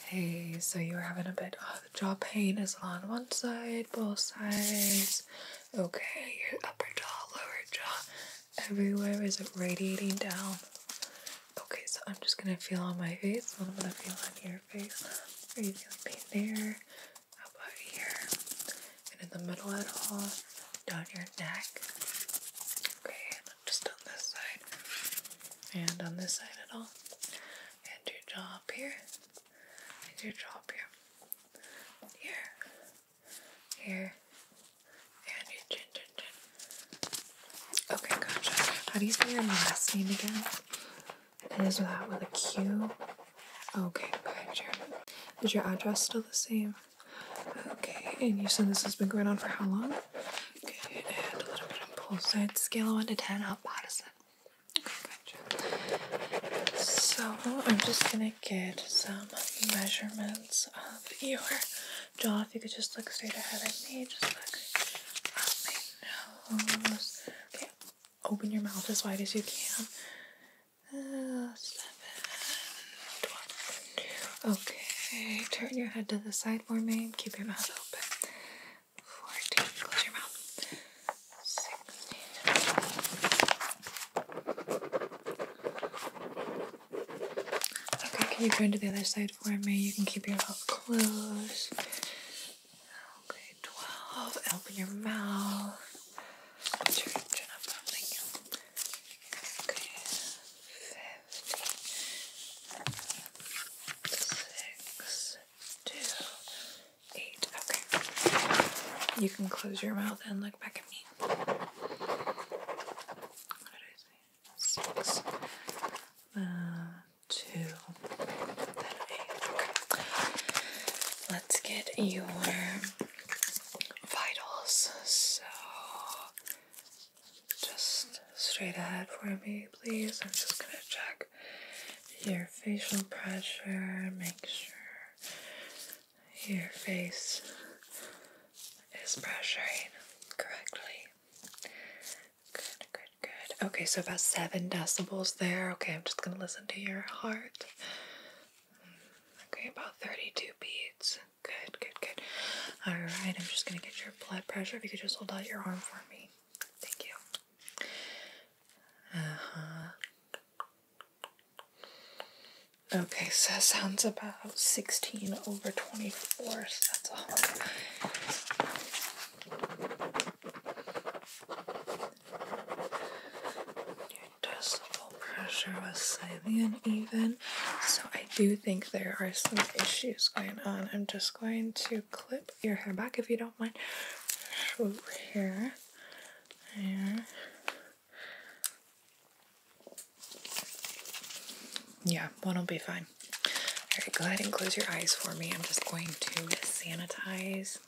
Hey, so you are having a bit of jaw pain is on one side, both sides. Okay, your upper jaw, lower jaw, everywhere. Is it radiating down? Okay, so I'm just gonna feel on my face, what I'm gonna feel on your face. Are you feeling pain there? How about here? And in the middle at all? Down your neck. Okay, just on this side and on this side at all. And your jaw up here, and your jaw up here, here, here, and your chin, chin, chin. Okay, gotcha. How do you say your last name again? It is that with a Q. Okay, gotcha. Is your address still the same? Okay, and you said this has been going on for how long? Okay, and a little bit on both sides. Scale 1 to 10, Out, bad is it? Okay, So, I'm just gonna get some measurements of your jaw. If you could just look straight ahead at me, just look my nose. Okay, open your mouth as wide as you can. Uh, Okay, turn your head to the side for me. Keep your mouth open. 14, close your mouth. Okay, can you turn to the other side for me? You can keep your mouth closed. Okay, 12. Open your mouth. Okay, 15 six, two, eight. Okay. You can close your mouth and look back at me. What uh, Let's get your vitals. So just straight ahead for me, please. I'm just gonna check your facial pressure, make sure your face is pressuring correctly. Good, good, good. Okay, so about seven decibels there. Okay, I'm just gonna listen to your heart. Okay, about 32 beats. Good, good, good. All right, I'm just going to get your blood pressure. If you could just hold out your arm for me. Thank you. Uh huh. Okay, so that sounds about 16 over 24, so that's all decibel pressure was slightly uneven, so I do think there are some issues going on. I'm just going to clip your hair back if you don't mind. here, there. Yeah, one will be fine. Alright, go ahead and close your eyes for me. I'm just going to sanitize,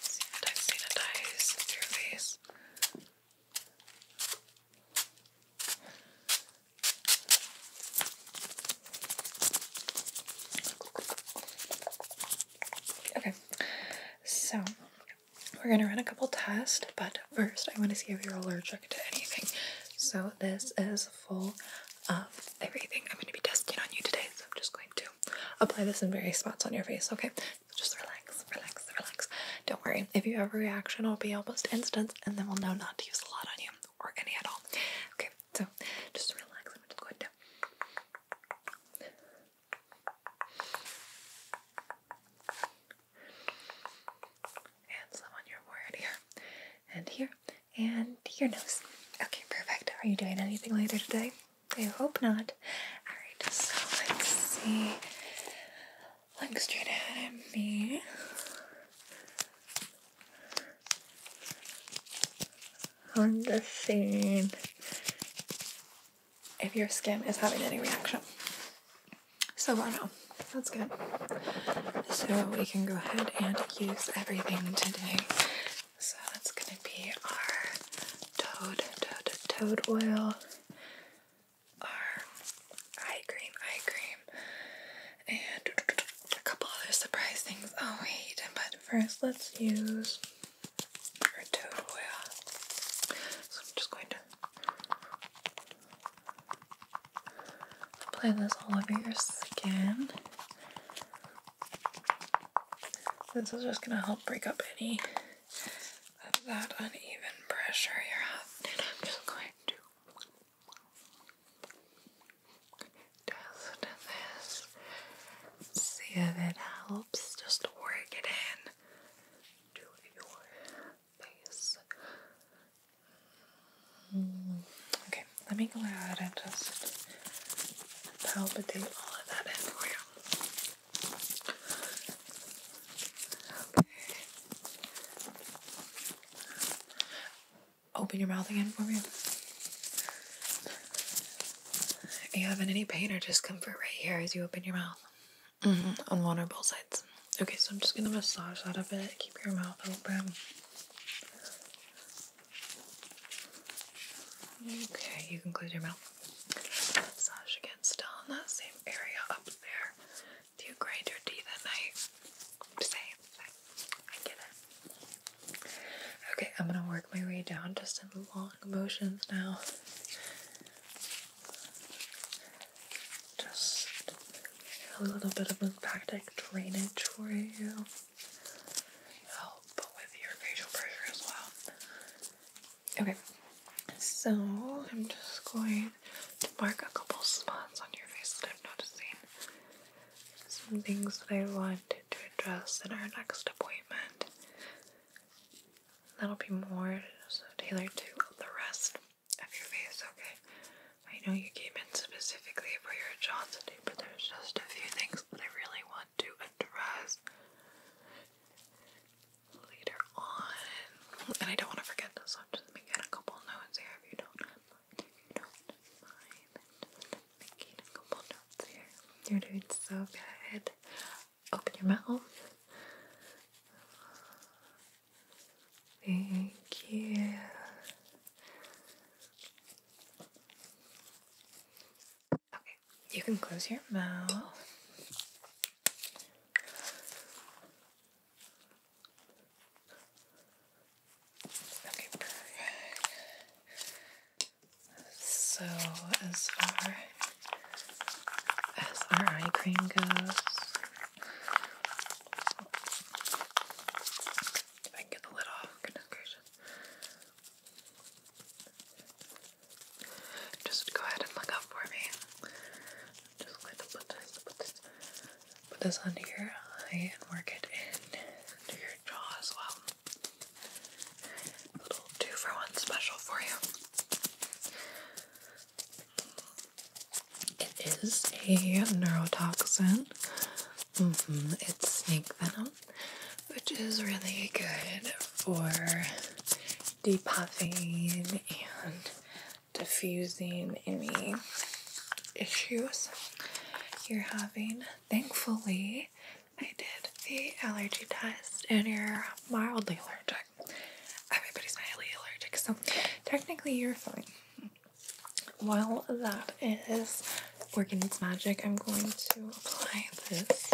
sanitize, sanitize your face. Okay, so we're gonna run a couple tests, but first I want to see if you're allergic to anything. So this is full of everything I'm gonna be testing on you today, so I'm just going to apply this in various spots on your face, okay? just relax, relax, relax. Don't worry. If you have a reaction, it'll be almost instant, and then we'll know not to use a lot on you or any at all. Okay, so just relax. I'm just going to. And some on your forehead here, and here, and your nose. Okay, perfect. Are you doing anything later today? I hope not. Alright, so let's see. Look straight ahead at me. on the just if your skin is having any reaction. So I know That's good. So we can go ahead and use everything today so that's going to be our toad, toad, toad oil, our eye cream, eye cream, and a couple other surprise things. Oh wait, but first let's use our toad oil. So I'm just going to apply this all over your skin. This is just gonna help break up any of that uneven pressure you're having. just going to test this. See if it helps. Just work it in to your face. Mm, okay, let me go ahead and just palpitate all of that in for you. Okay. Open your mouth again for me. you having any pain or discomfort right here as you open your mouth? Mm On one or both sides. Okay, so I'm just gonna massage out of it. Keep your mouth open. Okay, you can close your mouth. Massage again, still in that same area up there. Do you grind your teeth at night? Same, same. I get it. Okay, I'm gonna work my way down just in long motions now. Just a little bit of lymphatic drainage for you help with your facial pressure as well. Okay, so I'm just going to mark a couple spots on your face that I'm noticing. Some things that I wanted to address in our next appointment. That'll be more tailored to the rest of your face, okay? I know you came in specifically for your Johnson but there's just a few things that I really want to address later on. And I don't want to forget this, so I'm a couple notes here if you don't mind. You're doing so good. Open your mouth. Thank you. Okay, you can close your mouth. Okay, perfect. So as far as our eye cream goes. If I can get the lid off, goodness gracious. Just go ahead and look up for me. just put this, put this, put this under your eye and work it in under your jaw as well. little two for one special for you. It is a neurotoxin. Mm-hmm. It's snake venom, which is really good for depuffing and diffusing any issues you're having. Thankfully, I did the allergy test and you're mildly allergic. Everybody's mildly allergic, so technically you're fine while that is working its magic, I'm going to apply this.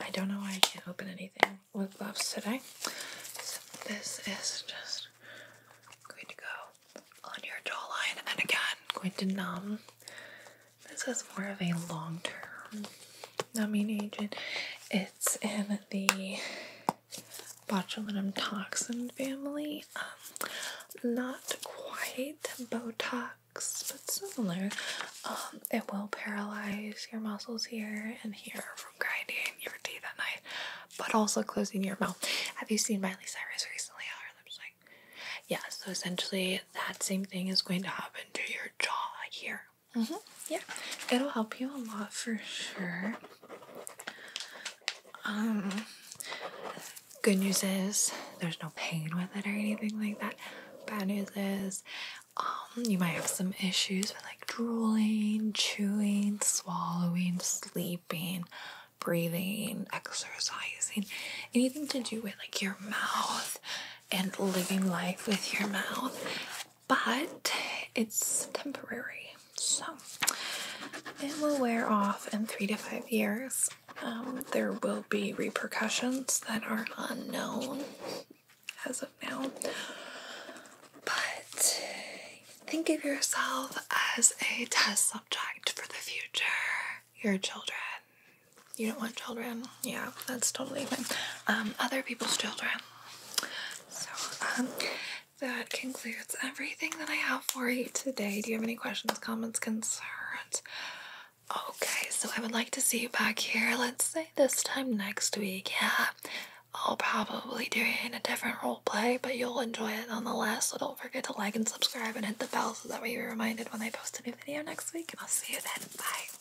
I don't know why I can't open anything with gloves today. this is just going to go on your jawline and again going to numb. This is more of a long-term numbing agent. It's in the botulinum toxin family. Um, not quite Botox, but similar. Um, it will paralyze your muscles here and here from grinding your teeth at night, but also closing your mouth. Have you seen Miley Cyrus recently? her lips like? Yeah. So essentially, that same thing is going to happen to your jaw here. Mm -hmm. Yeah, it'll help you a lot for sure. Um, good news is there's no pain with it or anything like that. Bad news is, um, you might have some issues with like drooling, chewing, swallowing, sleeping, breathing, exercising, anything to do with like your mouth and living life with your mouth but it's temporary, so it will wear off in three to five years. Um, there will be repercussions that are unknown as of now, but think of yourself as a test subject for the future. Your children. You don't want children? Yeah, that's totally fine. Um, other people's children. So, um, that concludes everything that I have for you today. Do you have any questions, comments, concerns? Okay, so I would like to see you back here. Let's say this time next week. Yeah, I'll probably do it in a different role play, but you'll enjoy it nonetheless. So don't forget to like and subscribe and hit the bell so that way you're reminded when I post a new video next week. And I'll see you then. Bye.